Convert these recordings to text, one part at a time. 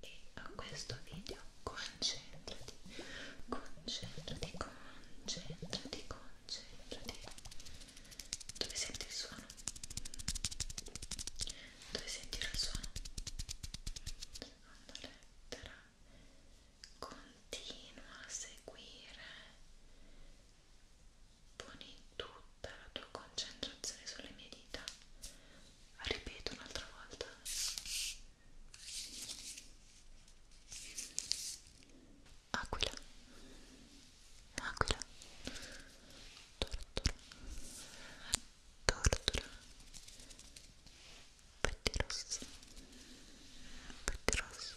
e a questo video concentrati, concentrati, concentrati, concentrati. Dove senti il suono? Dove senti il suono? Seconda lettera. Continua a seguire. Poni tutta la tua concentrazione sulle mie dita ripeto un'altra volta aquila aquila tortura tortura petti rossi petti rossi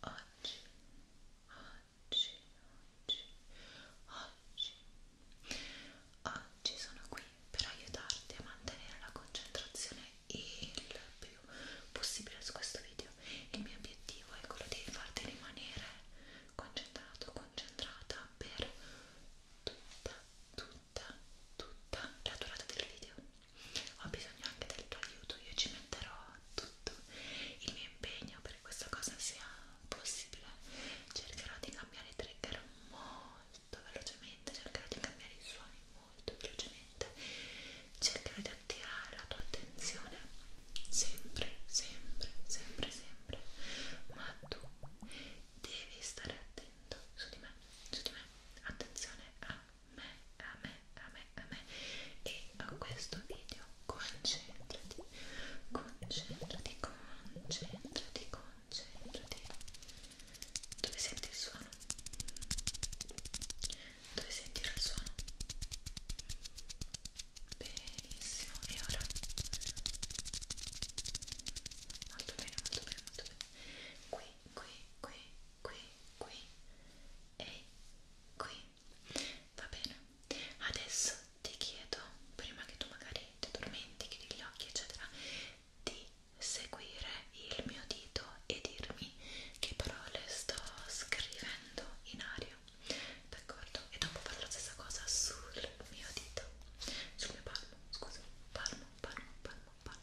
oggi, oggi, oggi, oggi, oggi sono qui per aiutarti a mantenere la concentrazione il più possibile su questo video. Il mio obiettivo è quello di farti rimanere concentrato, concentrata per tutta, tutta, tutta la durata del video ho bisogno anche del tuo aiuto, io ci metterò tutto il mio impegno perché questa cosa sia possibile cercherò di cambiare i trigger molto velocemente cercherò di cambiare i suoni molto velocemente cercherò di attirare la tua attenzione sempre, sempre, sempre, sempre ma tu devi stare attento su di me, su di me attenzione a me, a me, a me, a me e a questo video concentrati, concentrati, concentrati, concentrati dove senti il suono? dove sentire il suono? benissimo, e ora? molto bene, molto bene, molto bene qui, qui, qui qui, qui e qui. Va bene. Adesso ti chiedo, prima che tu magari ti addormenti, chiudi gli occhi, eccetera, di seguire il mio dito e dirmi che parole sto scrivendo in aria. D'accordo? E dopo fare la stessa cosa sul mio dito, sul mio palmo, scusa, palmo, palmo, palmo, palmo.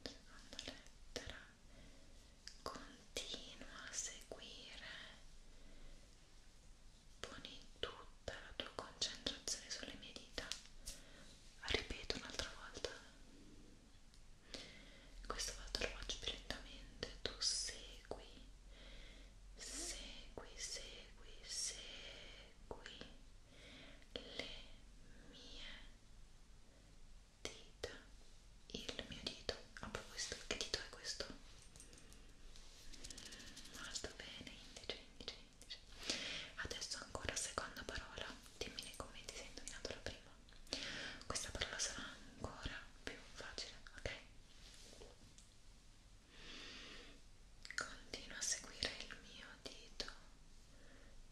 seconda lettera continua a seguire poni tutta la tua concentrazione sulle mie dita ripeto un'altra volta questa volta lo faccio più lentamente tu segui segui segui segui le mie dita il mio dito ah, proprio questo che dito è questo molto bene indice indice indice adesso ancora seconda parola dimmi nei commenti se hai indovinato la prima questa parola sarà ancora più facile ok Continua a seguire il mio dito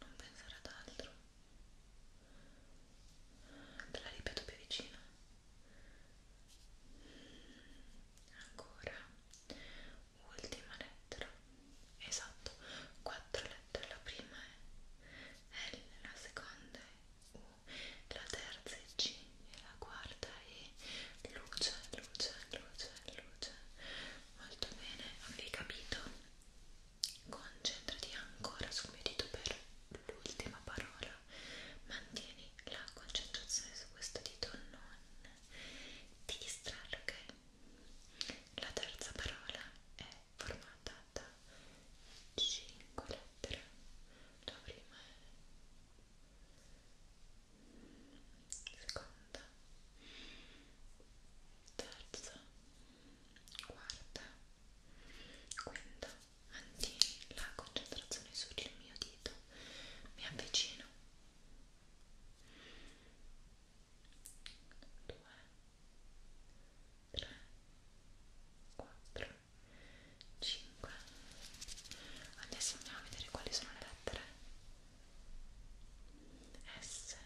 non pensare ad altro te la ripeto più vicino ancora ultima lettera esatto quattro lettere la prima è L la seconda è U la terza è C e la quarta è luce luce luce luce molto bene avete capito Concentrati ancora sul mio dito per l'ultima parola. Mantieni la concentrazione su questo dito, non ti distrarre, ok? La terza parola è formata da 5 lettere. La prima è seconda seconda, terza, quarta, quinta, mantieni la concentrazione sul mio dito, mi avvicino, due, tre, quattro, cinque, adesso andiamo a vedere quali sono le lettere S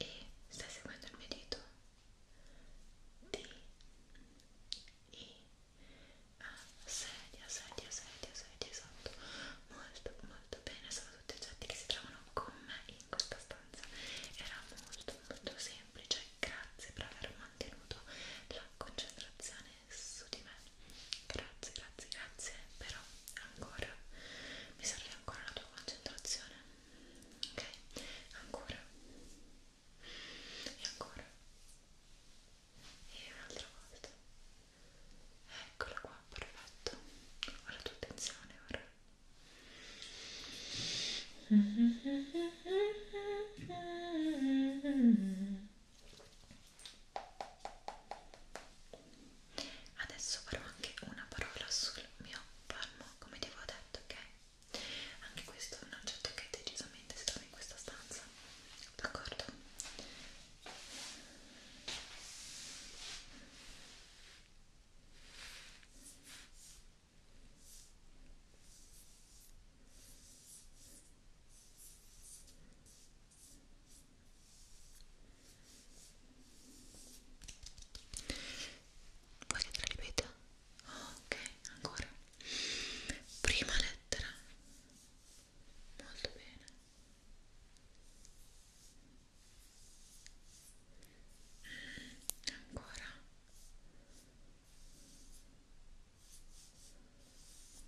e stai seguendo il mio dito D I A sedia, sedia, sedia, sedia, esatto molto, molto bene sono tutti oggetti che si trovano con me in questa stanza era molto, molto semplice grazie per aver mantenuto la concentrazione su di me Grazie, grazie, grazie, però ancora mi serve ancora la tua concentrazione. Ok? Ancora. E ancora. E un'altra volta. Eccola qua, perfetto. Ho la tua attenzione ora. Mm-hmm. Adesso farò anche una parola sul mio palmo, come ti avevo detto, ok? Anche questo è un oggetto che decisamente si trova in questa stanza, d'accordo? ok Vuoi che te la ripeta? Oh, ok, ancora. Prima lettera. Molto bene. Ancora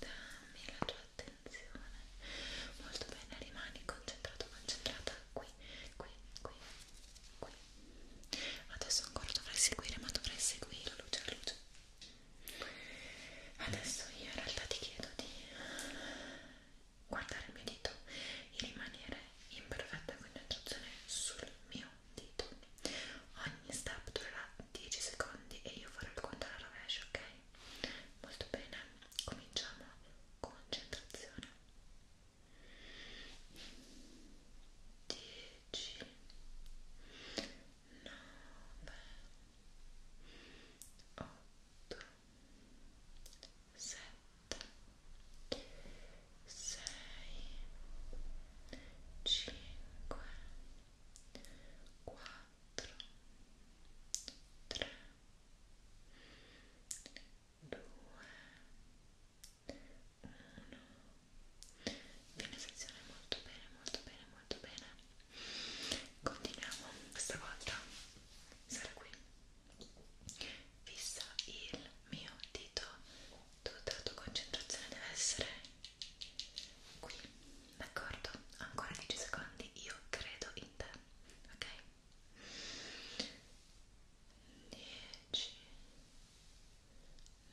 dammi la tua attenzione molto bene, rimani concentrato, concentrata qui, qui, qui, qui adesso ancora dovrai seguire, ma dovrai seguire la luce, la luce adesso io in realtà ti chiedo di guardare il mio dito e rimanere in perfetta concentrazione sul mio dito ogni step durerà 10 secondi e io farò il conto alla rovescia, ok? molto bene cominciamo concentrazione 10 9 8 7 6 5 4 3, 2, 1 Bene sezione, molto bene, molto bene, molto bene Continuiamo, questa volta sarà qui Fissa il mio dito Tutta la tua concentrazione deve essere qui d'accordo? Ancora 10 secondi, io credo in te, ok? 10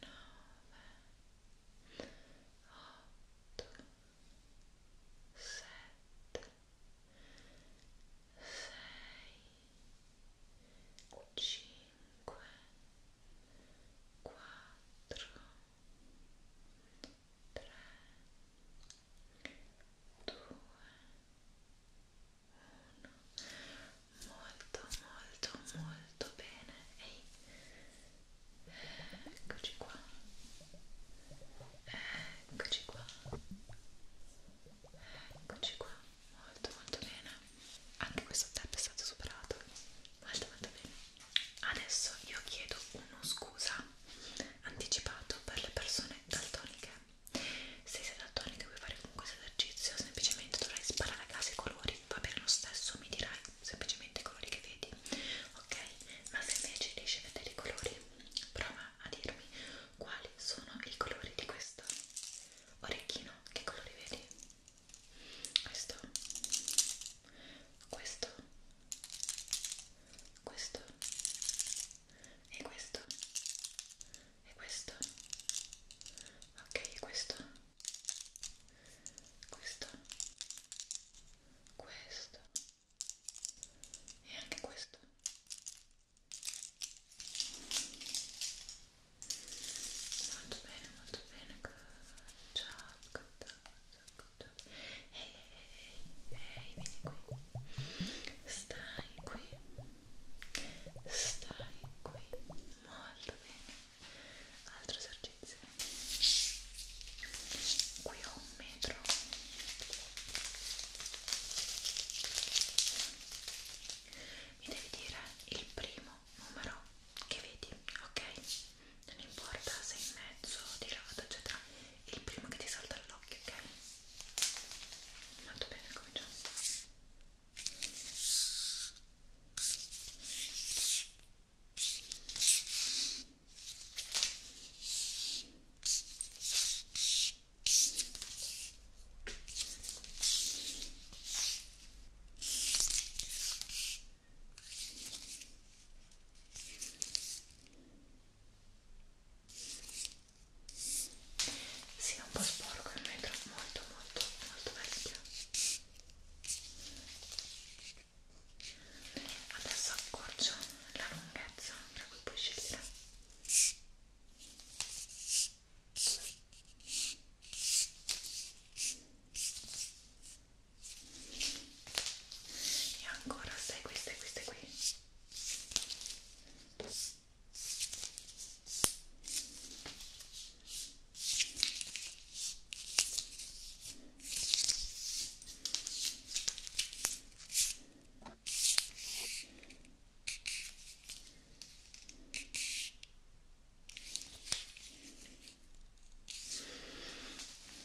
9 8 7 6 5 4 3 2 1 3 2 1 molto molto molto bene Ehi. eccoci qua eccoci qua eccoci qua molto molto bene anche questo step è stato superato molto molto bene adesso io chiedo uno scusa anticipato per le persone daltoniche. Se sei daltonico e vuoi fare comunque questo esercizio, semplicemente dovrai sparare a caso i colori, va bene lo stesso, mi dirai semplicemente i colori che vedi, ok? Ma se invece riesci a vedere i colori, prova a dirmi quali sono i colori di questo orecchino, che colori vedi? Questo, questo questo e questo e questo ok questo questo questo e anche questo molto bene molto bene ciao d'accordo? Ehi, ehi, ehi, vieni qui. Stai qui. Stai qui. Molto bene. Altro esercizio. Qui ho un metro. Mi devi dire il primo numero che vedi, ok? non importa se in mezzo, di lato, eccetera, il primo che ti salta all'occhio, ok? Molto bene, cominciamo. Molto sì, è un po' sporco il metro, molto molto molto vecchio. Adesso accorcio la lunghezza tra cui puoi scegliere. Sì, e ancora sei queste queste qui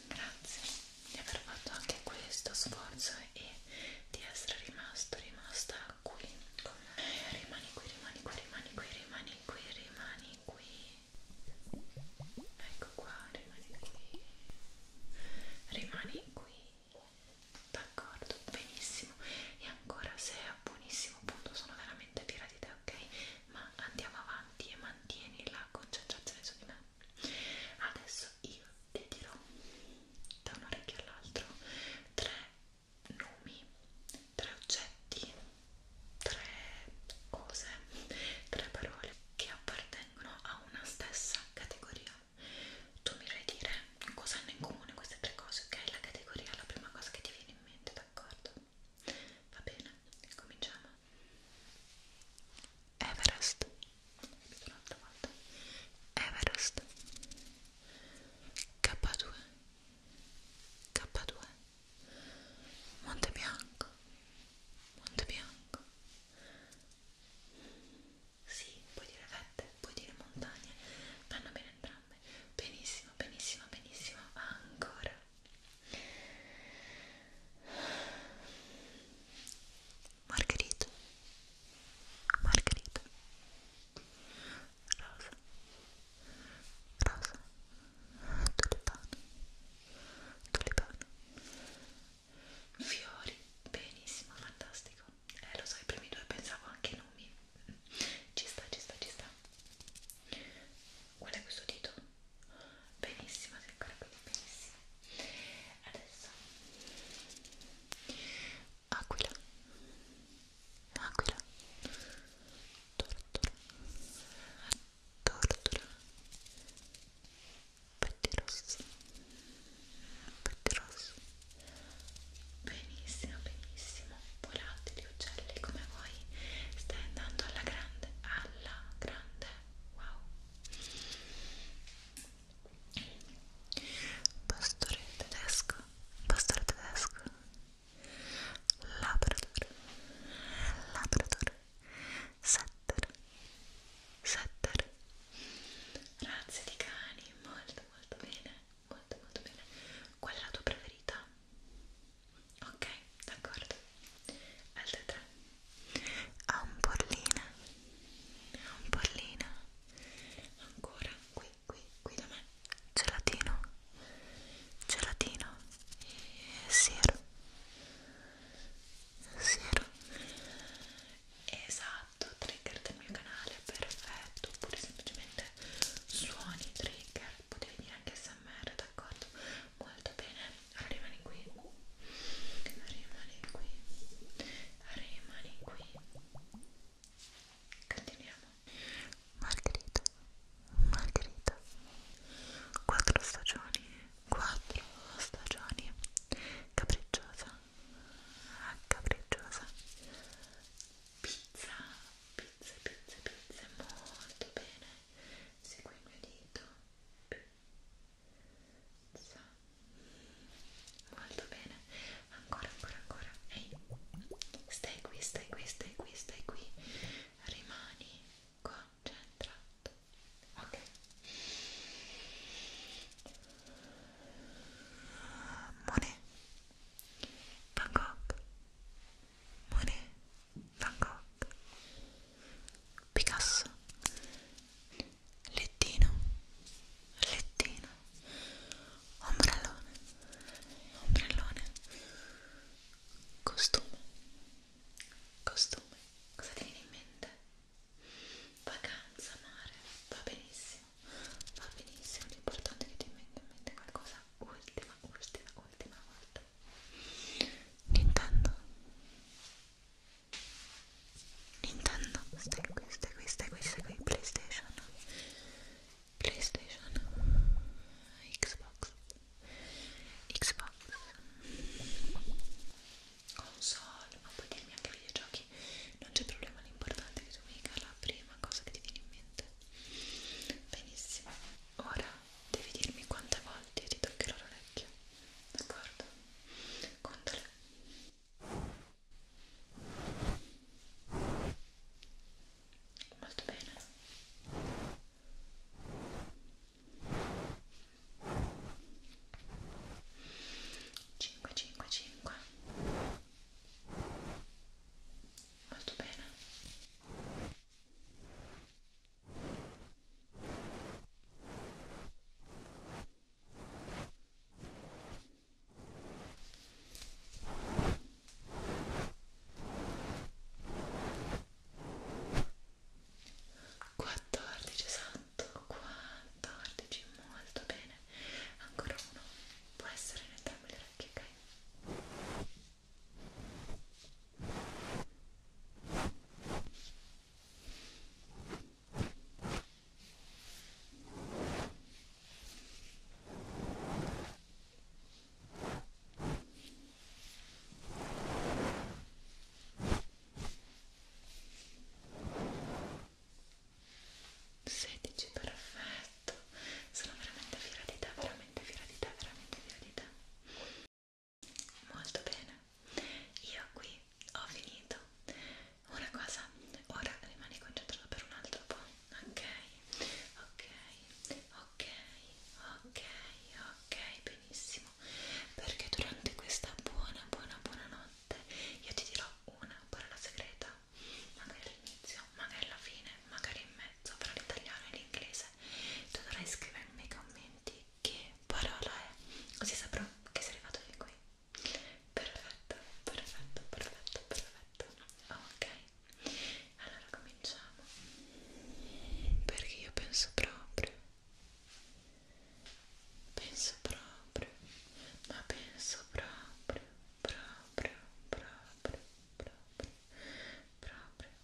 Grazie di aver fatto anche questo sforzo e di essere rimasto, rimasta qui con me. Rimani qui, rimani qui, rimani qui, rimani qui, rimani qui. Ecco qua, rimani qui. Rimani qui. D'accordo, benissimo. E ancora se è a buonissimo punto sono veramente fiera di te, ok? Ma andiamo avanti e mantieni la concentrazione su di me. Adesso io ti dirò da un orecchio all'altro tre nomi, tre oggetti, tre cose, tre parole che appartengono a una stessa categoria. Tu mi devi dire cosa hanno in comune queste tre cose, ok? La categoria è la prima cosa che ti viene in mente, d'accordo? Va bene, cominciamo. Everest ripeto un'altra volta Everest K2 K2 Monte Bianco Monte Bianco sì, puoi dire vette, puoi dire montagne vanno bene entrambe benissimo, benissimo, benissimo ancora Margherita Margherita Rosa Rosa Tulipano Tulipano Fiori Benissimo, fantastico Eh lo so, i primi due pensavo anche ai nomi Ci sta, ci sta, ci sta Qual è questo dito? benissimo sei ancora qui benissimo adesso aquila aquila tortura tortura petti rosso petti rosso benissimo benissimo volatili uccelli come voi stai andando alla grande alla grande wow pastore tedesco pastore tedesco labrador labrador setter setter razze di cani molto molto bene molto molto bene qual è la tua preferita? ok d'accordo altre tre ampollina ampollina ancora qui qui qui da me gelatino gelatino e siero siero esatto trigger del mio canale perfetto oppure semplicemente suoni trigger potete dire anche smr d'accordo molto bene rimani qui rimani qui rimani qui continuiamo Margherita Margherita quattro stagioni quattro stagioni capricciosa capricciosa pizza pizza pizza pizza molto bene segui il mio dito più so. molto bene ancora ancora ancora ehi stai qui stai qui stai qui stai qui rimani concentrato ok Monet Bangkok Monet Van Gogh, Picasso, lettino, lettino, ombrellone, ombrellone, costume, costume, cosa ti viene in mente? Vacanza, mare, va benissimo, va benissimo, l'importante è che ti venga in mente qualcosa ultima, ultima, ultima volta Nintendo Nintendo Nintendo stai qui, stai qui, stai qui, stai qui Playstation Playstation Xbox Xbox console ma puoi dirmi anche videogiochi non c'è problema l'importante è che tu mi dica la prima cosa che ti viene in mente benissimo ora devi dirmi quante volte ti toccherò l'orecchio, d'accordo? Contale. Molto bene. Cinque, cinque, cinque. Molto bene. 14 esatto, 14, molto bene. Ancora uno, può essere in entrambe le orecchie, ok? 16 perfetto sono veramente fiera di te veramente fiera di te veramente fiera di te Molto bene, io qui ho finito. Una cosa, ora rimani concentrato per un altro po', ok? Ok, ok, ok, ok, benissimo. Perché durante questa buona, buona, buona notte io ti dirò una parola segreta, magari all'inizio, magari alla fine, magari in mezzo, fra l'italiano e l'inglese. Tu dovrai scrivermi nei commenti che parola è, così saprò che sei arrivato fin qui. Perfetto, perfetto, perfetto, perfetto. Ok, allora cominciamo. Perché io penso proprio, penso proprio, ma penso proprio, proprio, proprio, proprio, proprio, proprio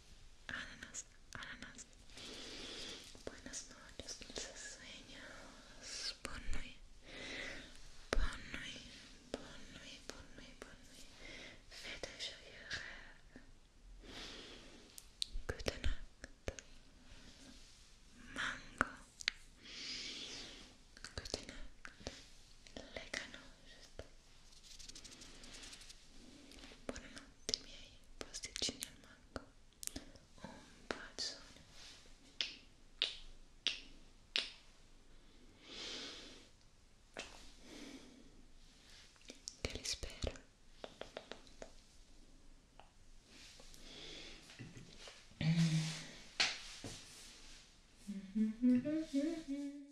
ananas, ananas. Buenas noches, sueños. Bon nuit, bon nuit, bon nuit, bon nuit, bon nuit. Faites je Good night. Mango. Good night. Buonanotte miei pasticcini al mango. Un bacione. Che li spero. Mm-hmm. Mm-hmm. Mm-hmm.